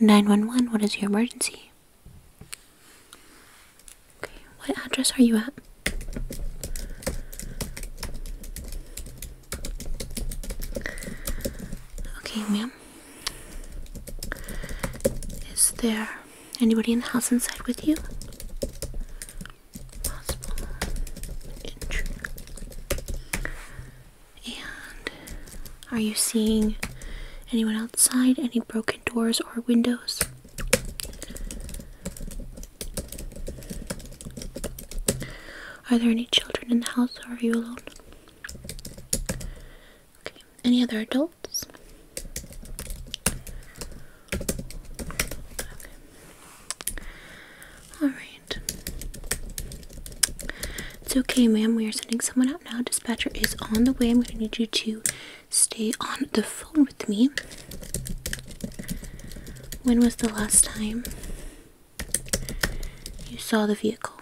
911, what is your emergency? Okay, what address are you at? Okay, ma'am. Is there anybody in the house inside with you? And are you seeing anyone outside? Any broken doors or windows? Are there any children in the house or are you alone? Okay. Any other adults? Alright. It's okay, ma'am. We are sending someone up now. Dispatcher is on the way. I'm going to need you to stay on the phone with me. When was the last time you saw the vehicle?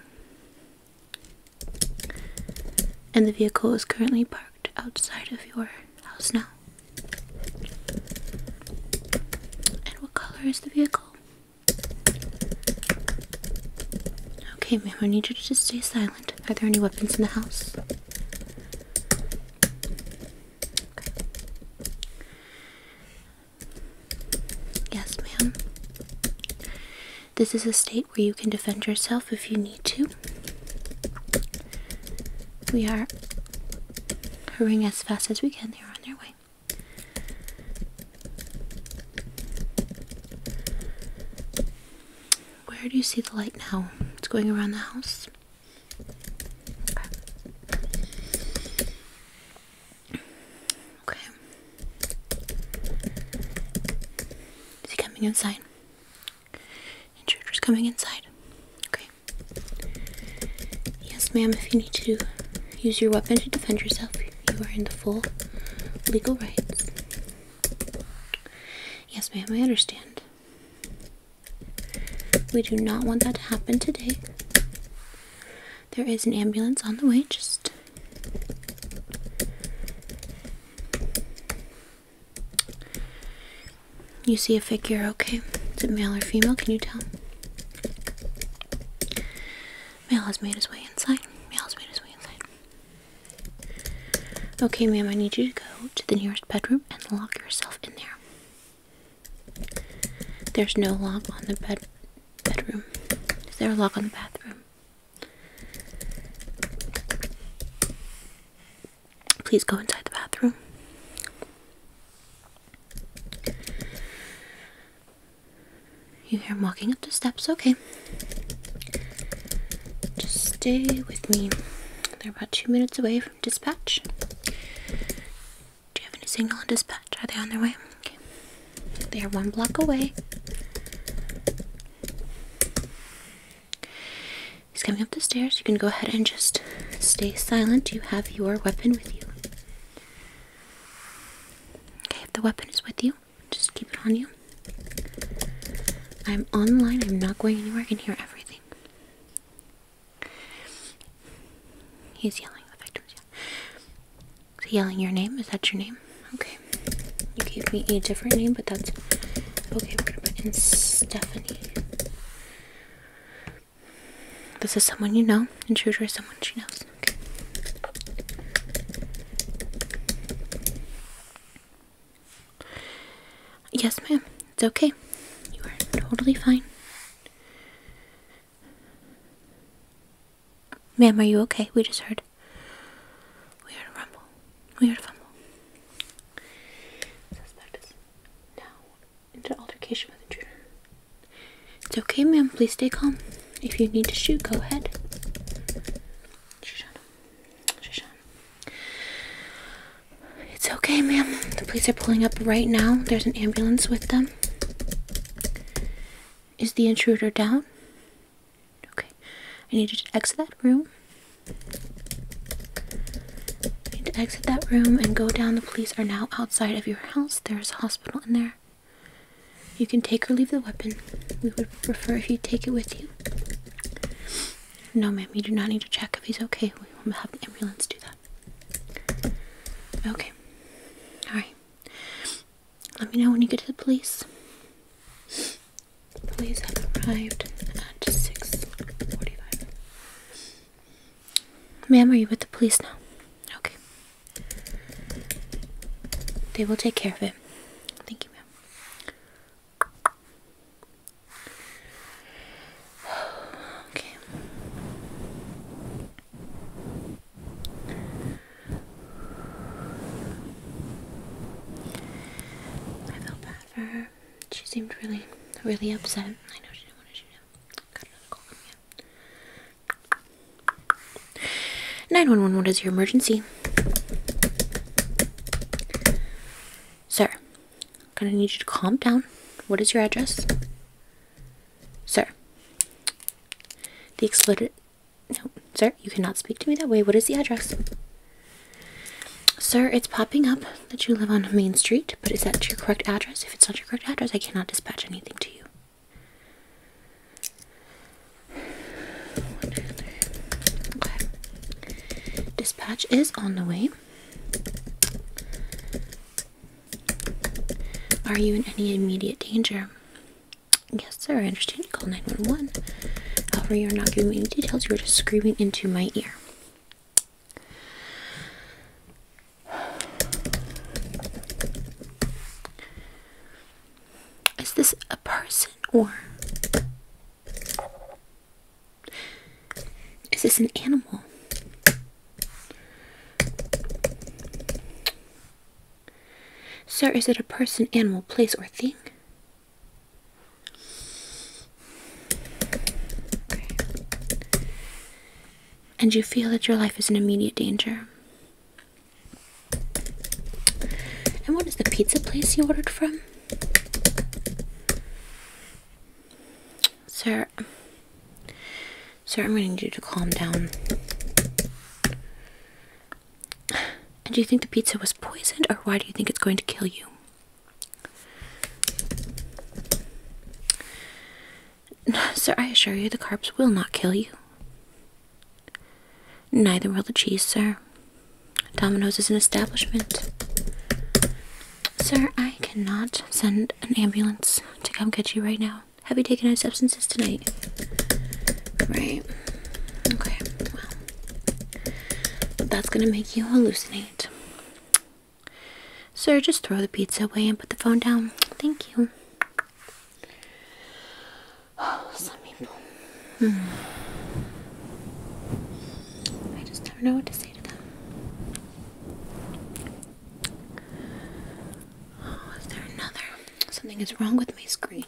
And the vehicle is currently parked outside of your house now. And what color is the vehicle? Okay, ma'am, I need you to just stay silent. Are there any weapons in the house? Yes, ma'am. This is a state where you can defend yourself if you need to. We are hurrying as fast as we can. They are on their way. Where do you see the light now? It's going around the house. Okay. okay. Is he coming inside? Intruder's coming inside. Okay. Yes, ma'am, if you need to Use your weapon to defend yourself. You are in the full legal rights. Yes, ma'am, I understand. We do not want that to happen today. There is an ambulance on the way, just. You see a figure, okay? Is it male or female? Can you tell? Male has made his way inside. Male has made his way inside. Okay, ma'am, I need you to go to the nearest bedroom and lock yourself in there. There's no lock on the bed bedroom. Is there a lock on the bathroom? Please go inside the bathroom. You hear him walking up the steps. Okay. Just stay with me. They're about two minutes away from dispatch. Do you have any signal on dispatch? Are they on their way? They are one block away. He's coming up the stairs. You can go ahead and just stay silent. You have your weapon with you. Okay, if the weapon is with you, just keep it on you. I'm online. I'm not going anywhere. I can hear everything. He's yelling. The victim's yelling. yelling your name? Is that your name? Okay. You gave me a different name, but that's okay. We're gonna put in Stephanie. This is someone you know. and Intruder is someone she knows. Yes, ma'am. It's okay. You are totally fine. Ma'am, are you okay? We just heard. We heard a rumble. We heard a fumble. Suspect is now into altercation with intruder. It's okay, ma'am. Please stay calm. If you need to shoot, go ahead. It's okay, ma'am. The police are pulling up right now. There's an ambulance with them. Is the intruder down? Okay. I need you to exit that room. need to exit that room and go down. The police are now outside of your house. There's a hospital in there. You can take or leave the weapon. We would prefer if you take it with you. No, ma'am, you do not need to check if he's okay. We will have the ambulance do that. Okay. Alright. Let me know when you get to the police. police have arrived at 6.45. Ma'am, are you with the police now? Okay. They will take care of it. Thank you, ma'am. Okay. I felt bad for her. She seemed really, really upset. I know she didn't want to shoot him. Got another call you. 911, what is your emergency? Sir, I'm gonna need you to calm down. What is your address? Sir, the exploded. No, sir, you cannot speak to me that way. What is the address? Sir, it's popping up that you live on Main Street, but is that your correct address? If it's not your correct address, I cannot dispatch anything to you. Dispatch is on the way. Are you in any immediate danger? Yes, sir, I understand you call 911. However, you're not giving me any details. You're just screaming into my ear. Is this a person or is this an animal? Sir, is it a person, animal, place, or thing? And you feel that your life is in immediate danger. And what is the pizza place you ordered from? Sir, sir, I'm going to need you to calm down. And do you think the pizza was poisoned, or why do you think it's going to kill you? No, sir, I assure you the carbs will not kill you. Neither will the cheese, sir. Domino's is an establishment. Sir, I cannot send an ambulance to come get you right now. Have you taken any substances tonight? Right. Okay, well. that's gonna make you hallucinate. Sir, just throw the pizza away and put the phone down. Thank you some people. I just never know what to say to them. Oh, is there another? Something is wrong with my screen.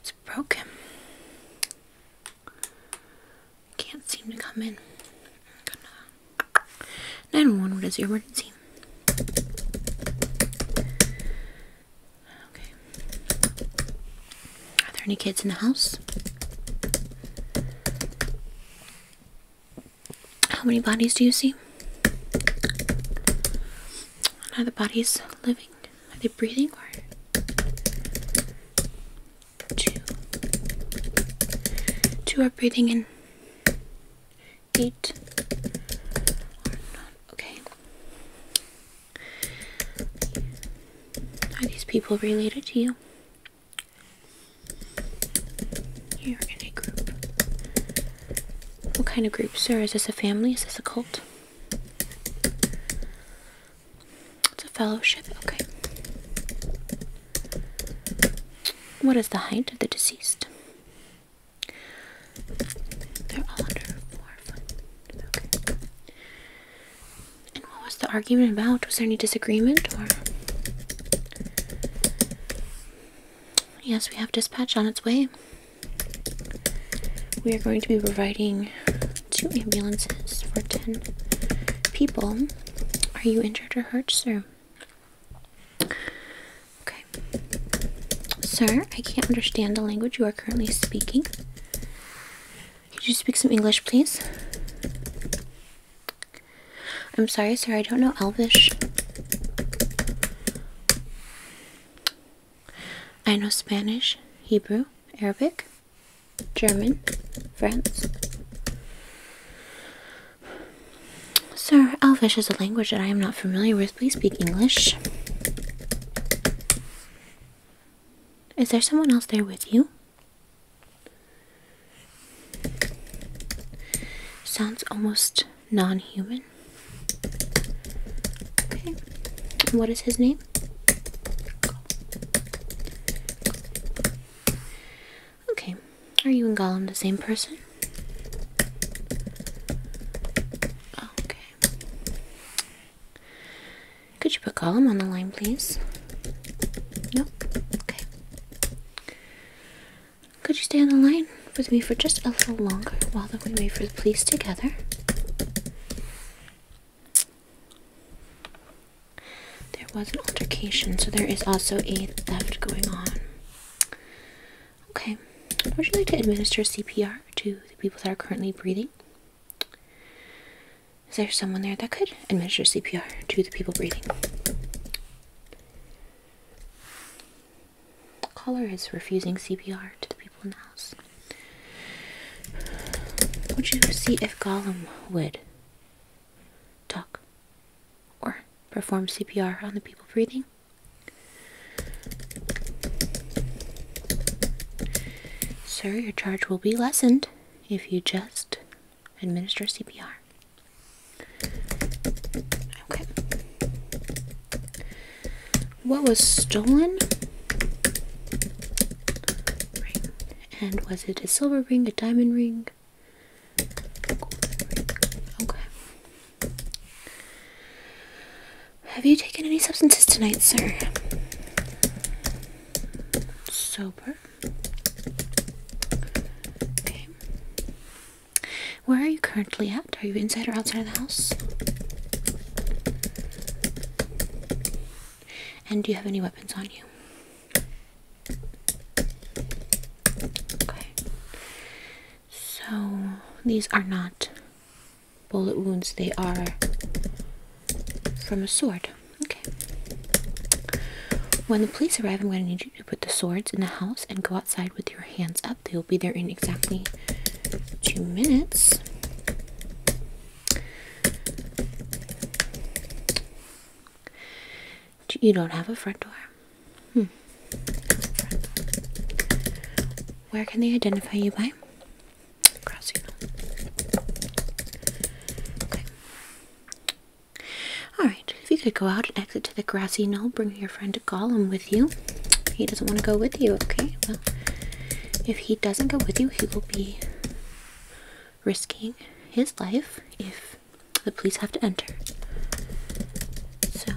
It's broken. Can't seem to come in. Nine one, what is your emergency? Okay. Are there any kids in the house? How many bodies do you see? Are the bodies living? Are they breathing or two? Two are breathing in. Eight. Okay. Are these people related to you? You're in a group. What kind of group, sir? Is this a family? Is this a cult? It's a fellowship? Okay. What is the height of the deceased? They're all under four foot. And what was the argument about? Was there any disagreement Yes, we have dispatch on its way. We are going to be providing two ambulances for 10 people. Are you injured or hurt, sir? Okay. Sir, I can't understand the language you are currently speaking. Could you speak some English, please? I'm sorry, sir, I don't know Elvish. I know Spanish, Hebrew, Arabic, German, French. Sir, Elvish is a language that I am not familiar with. Please speak English. Is there someone else there with you? Sounds almost non human. Okay. What is his name? Okay, are you and Gollum the same person? Okay. Could you put Gollum on the line, please? Nope. Okay. Could you stay on the line with me for just a little longer while we wait for the police together? There was an altercation, so there is also a theft going on. Okay, would you like to administer CPR to the people that are currently breathing? Is there someone there that could administer CPR to the people breathing? caller is refusing CPR to the people in the house. Would you see if Gollum would talk? or perform CPR on the people breathing. Sir, your charge will be lessened if you just administer CPR. Okay. What was stolen? And was it a silver ring, a diamond ring, Okay. Have you taken any substances tonight, sir? Sober. Okay. Where are you currently at? Are you inside or outside of the house? And do you have any weapons on you? Okay. So these are not bullet wounds, they are from a sword. Okay. When the police arrive, I'm going to need you to put the swords in the house and go outside with your hands up. They'll be there in exactly two minutes. You don't have a front door. Hmm. Where can they identify you by? Crossing. Okay. Alright, if you could go out and exit to the grassy knoll, bring your friend Gollum with you. He doesn't want to go with you, okay? Well, if he doesn't go with you, he will be risking his life if the police have to enter. So,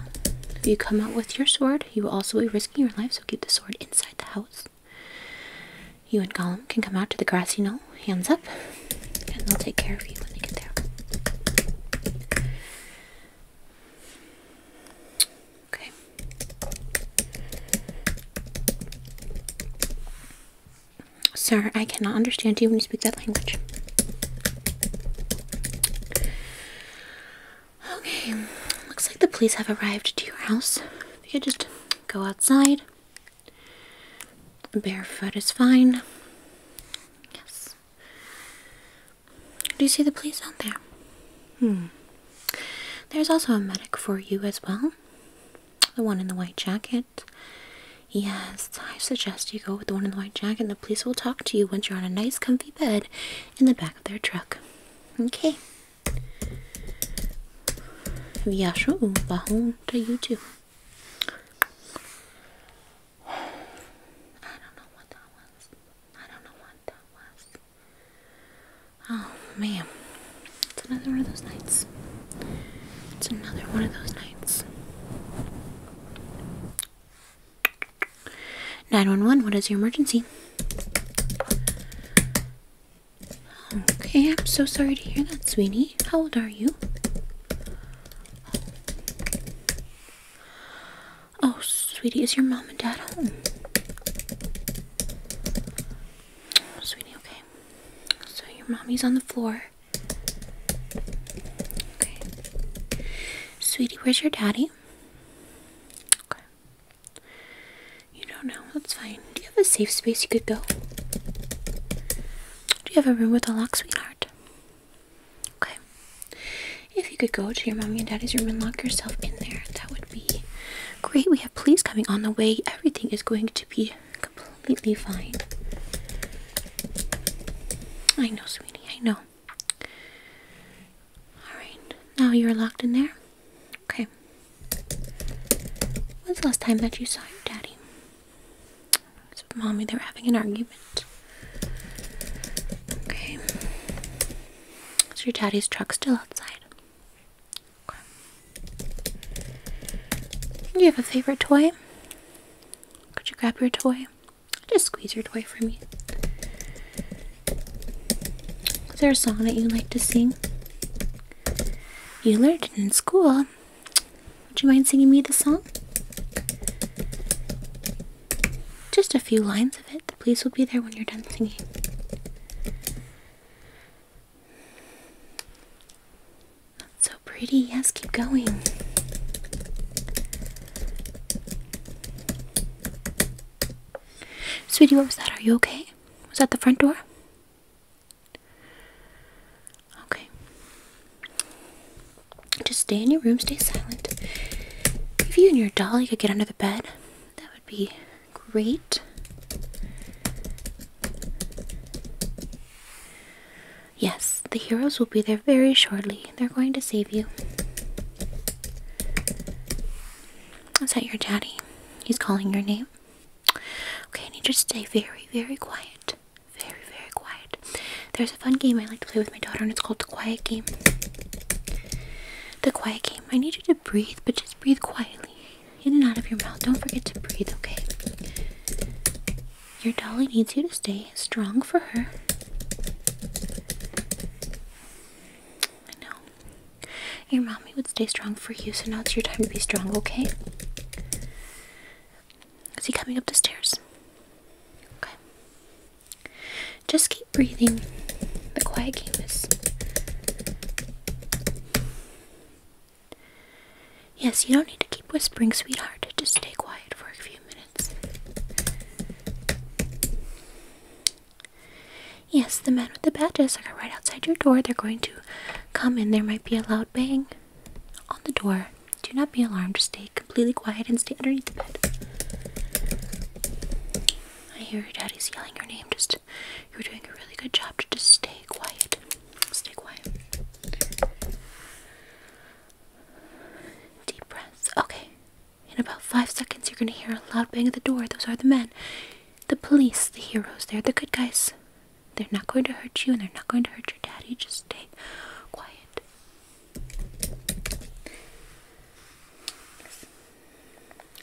if you come out with your sword, you will also be risking your life, so keep the sword inside the house. You and Gollum can come out to the grassy knoll, hands up, and they'll take care of you when they get there. Okay. Sir, I cannot understand you when you speak that language. Okay, looks like the police have arrived to your house. you could just go outside. Barefoot is fine. Yes. Do you see the police out there? Hmm. There's also a medic for you as well. The one in the white jacket. Yes, I suggest you go with the one in the white jacket, the police will talk to you once you're on a nice, comfy bed in the back of their truck. Okay. Viajo, vahon to you I don't know what that was. I don't know what that was. Oh man, it's another one of those nights. It's another one of those nights. 911, what is your emergency? Okay, I'm so sorry to hear that, sweetie. How old are you? Oh, sweetie, is your mom and dad home? sweetie, okay. So your mommy's on the floor. Sweetie, where's your daddy? You don't know. That's fine. Do you have a safe space you could go? Do you have a room with a lock, sweetheart? Okay. If you could go to your mommy and daddy's room and lock yourself in there, that would be great. We have police coming on the way. Everything is going to be completely fine. I know, sweetheart. I know. Alright, now you're locked in there? Okay. When's the last time that you saw your daddy? So, mommy, they're having an argument. Okay. Is your daddy's truck still outside? Okay. Do you have a favorite toy? Could you grab your toy? Just squeeze your toy for me. Is there a song that you like to sing? You learned it in school. Would you mind singing me the song? Just a few lines of it. The police will be there when you're done singing. So pretty. Yes, keep going. Sweetie, what was that? Are you okay? Was that the front door? Okay. Just stay in your room, stay silent. If you and your dolly could get under the bed, that would be great. Yes, the heroes will be there very shortly. They're going to save you. Is that your daddy? He's calling your name. Okay, I need you to stay very, very quiet. Very, very quiet. There's a fun game I like to play with my daughter, and it's called the Quiet Game. The Quiet Game. I need you to breathe, but just breathe quietly. In and out of your mouth. Don't forget to breathe, okay? Your dolly needs you to stay strong for her. I know. Your mommy would stay strong for you, so now it's your time to be strong, okay? Is he coming up the stairs? Okay. Just keep breathing. The quiet game is. Yes, you don't need to keep whispering, sweetheart. Just stay quiet for a few minutes. Yes, the men with the badges are right outside your door. They're going to come in. There might be a loud bang on the door. Do not be alarmed. Stay completely quiet and stay underneath the bed. I hear daddy's yelling your name. Just you're doing a really good job to just stay quiet. Stay quiet. Deep breaths. Okay. In about five seconds, you're gonna hear a loud bang at the door. Those are the men. The police, the heroes, they're the good guys. They're not going to hurt you and they're not going to hurt your daddy. Just stay quiet.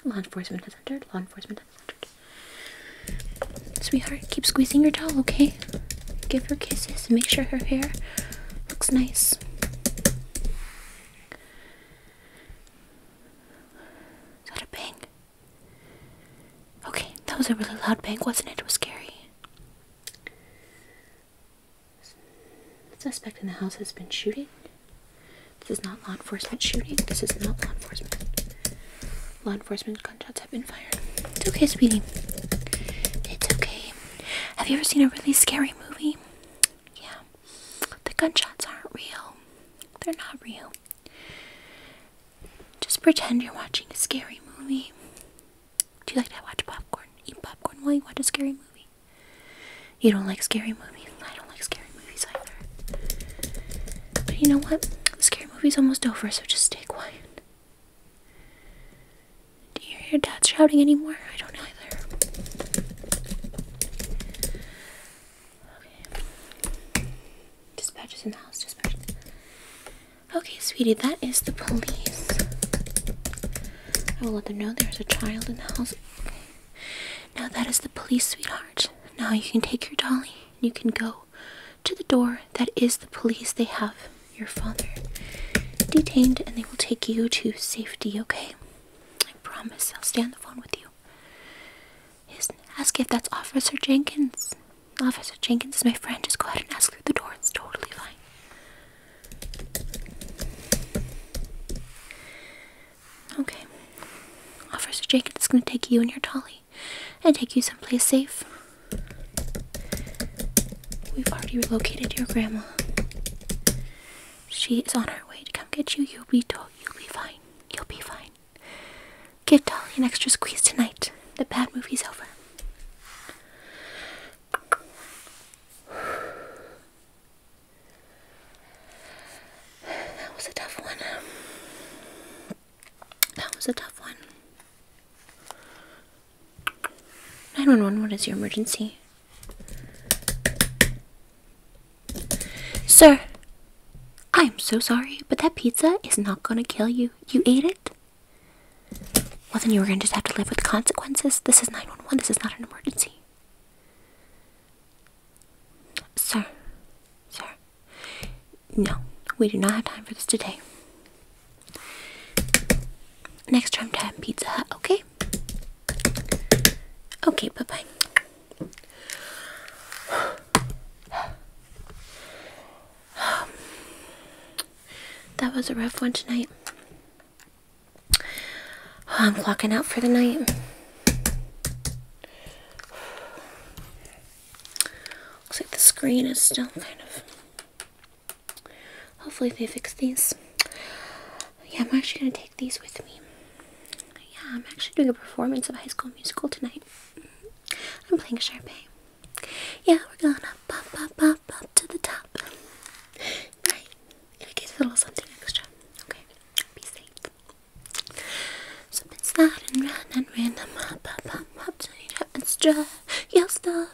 Law enforcement has entered. Law enforcement has entered. Sweetheart, keep squeezing your towel, okay? Give her kisses, make sure her hair looks nice. Is that a bang? Okay, that was a really loud bang, wasn't it? It was scary. The suspect in the house has been shooting. This is not law enforcement shooting. This is not law enforcement. Law enforcement gunshots have been fired. It's okay, sweetie. It's okay. Have you ever seen a really scary movie? Yeah. The gunshots aren't real. They're not real. Just pretend you're watching a scary movie. Do you like to watch popcorn? Eat popcorn while you watch a scary movie? You don't like scary movies? I don't like scary movies either. But you know what? The scary movie's almost over, so just stay quiet. Do you hear your dad shouting anymore? I don't either. Okay. in the house. Dispatch. Okay, sweetie, that is the police. I will let them know there's a child in the house. Now that is the police, sweetheart. Now you can take your dolly and you can go to the door. That is the police. They have your father detained and they will take you to safety, okay? I promise I'll stay on the phone with you. ask if that's Officer Jenkins. Officer Jenkins is my friend. Just go ahead and ask through the door. It's totally fine. Okay. Officer Jenkins is going to take you and your Tolly and take you someplace safe. We've already relocated your grandma. She is on her way to come get you. You'll be to- you'll be fine. You'll be fine. Give Dolly an extra squeeze tonight. The bad movie's over. That was a tough one. That was a tough one. 911, what is your emergency? Sir, I am so sorry, but that pizza is not gonna kill you. You ate it? Well, then you are gonna just have to live with the consequences. This is 911, this is not an emergency. Sir, sir, no, we do not have time for this today. Next time, time Pizza Hut, okay? Okay, bye bye. that was a rough one tonight. I'm clocking out for the night. Looks like the screen is still kind of Hopefully they fix these. Yeah, I'm actually gonna take these with me. Yeah, I'm actually doing a performance of High School Musical tonight. I'm playing Sharpay. Yeah, we're gonna pop, pop, pop, pop to the top. Right, in case a little something extra. Okay, be safe. Something's loud and run and random. Hop, hop, hop, to the top and strut your stuff.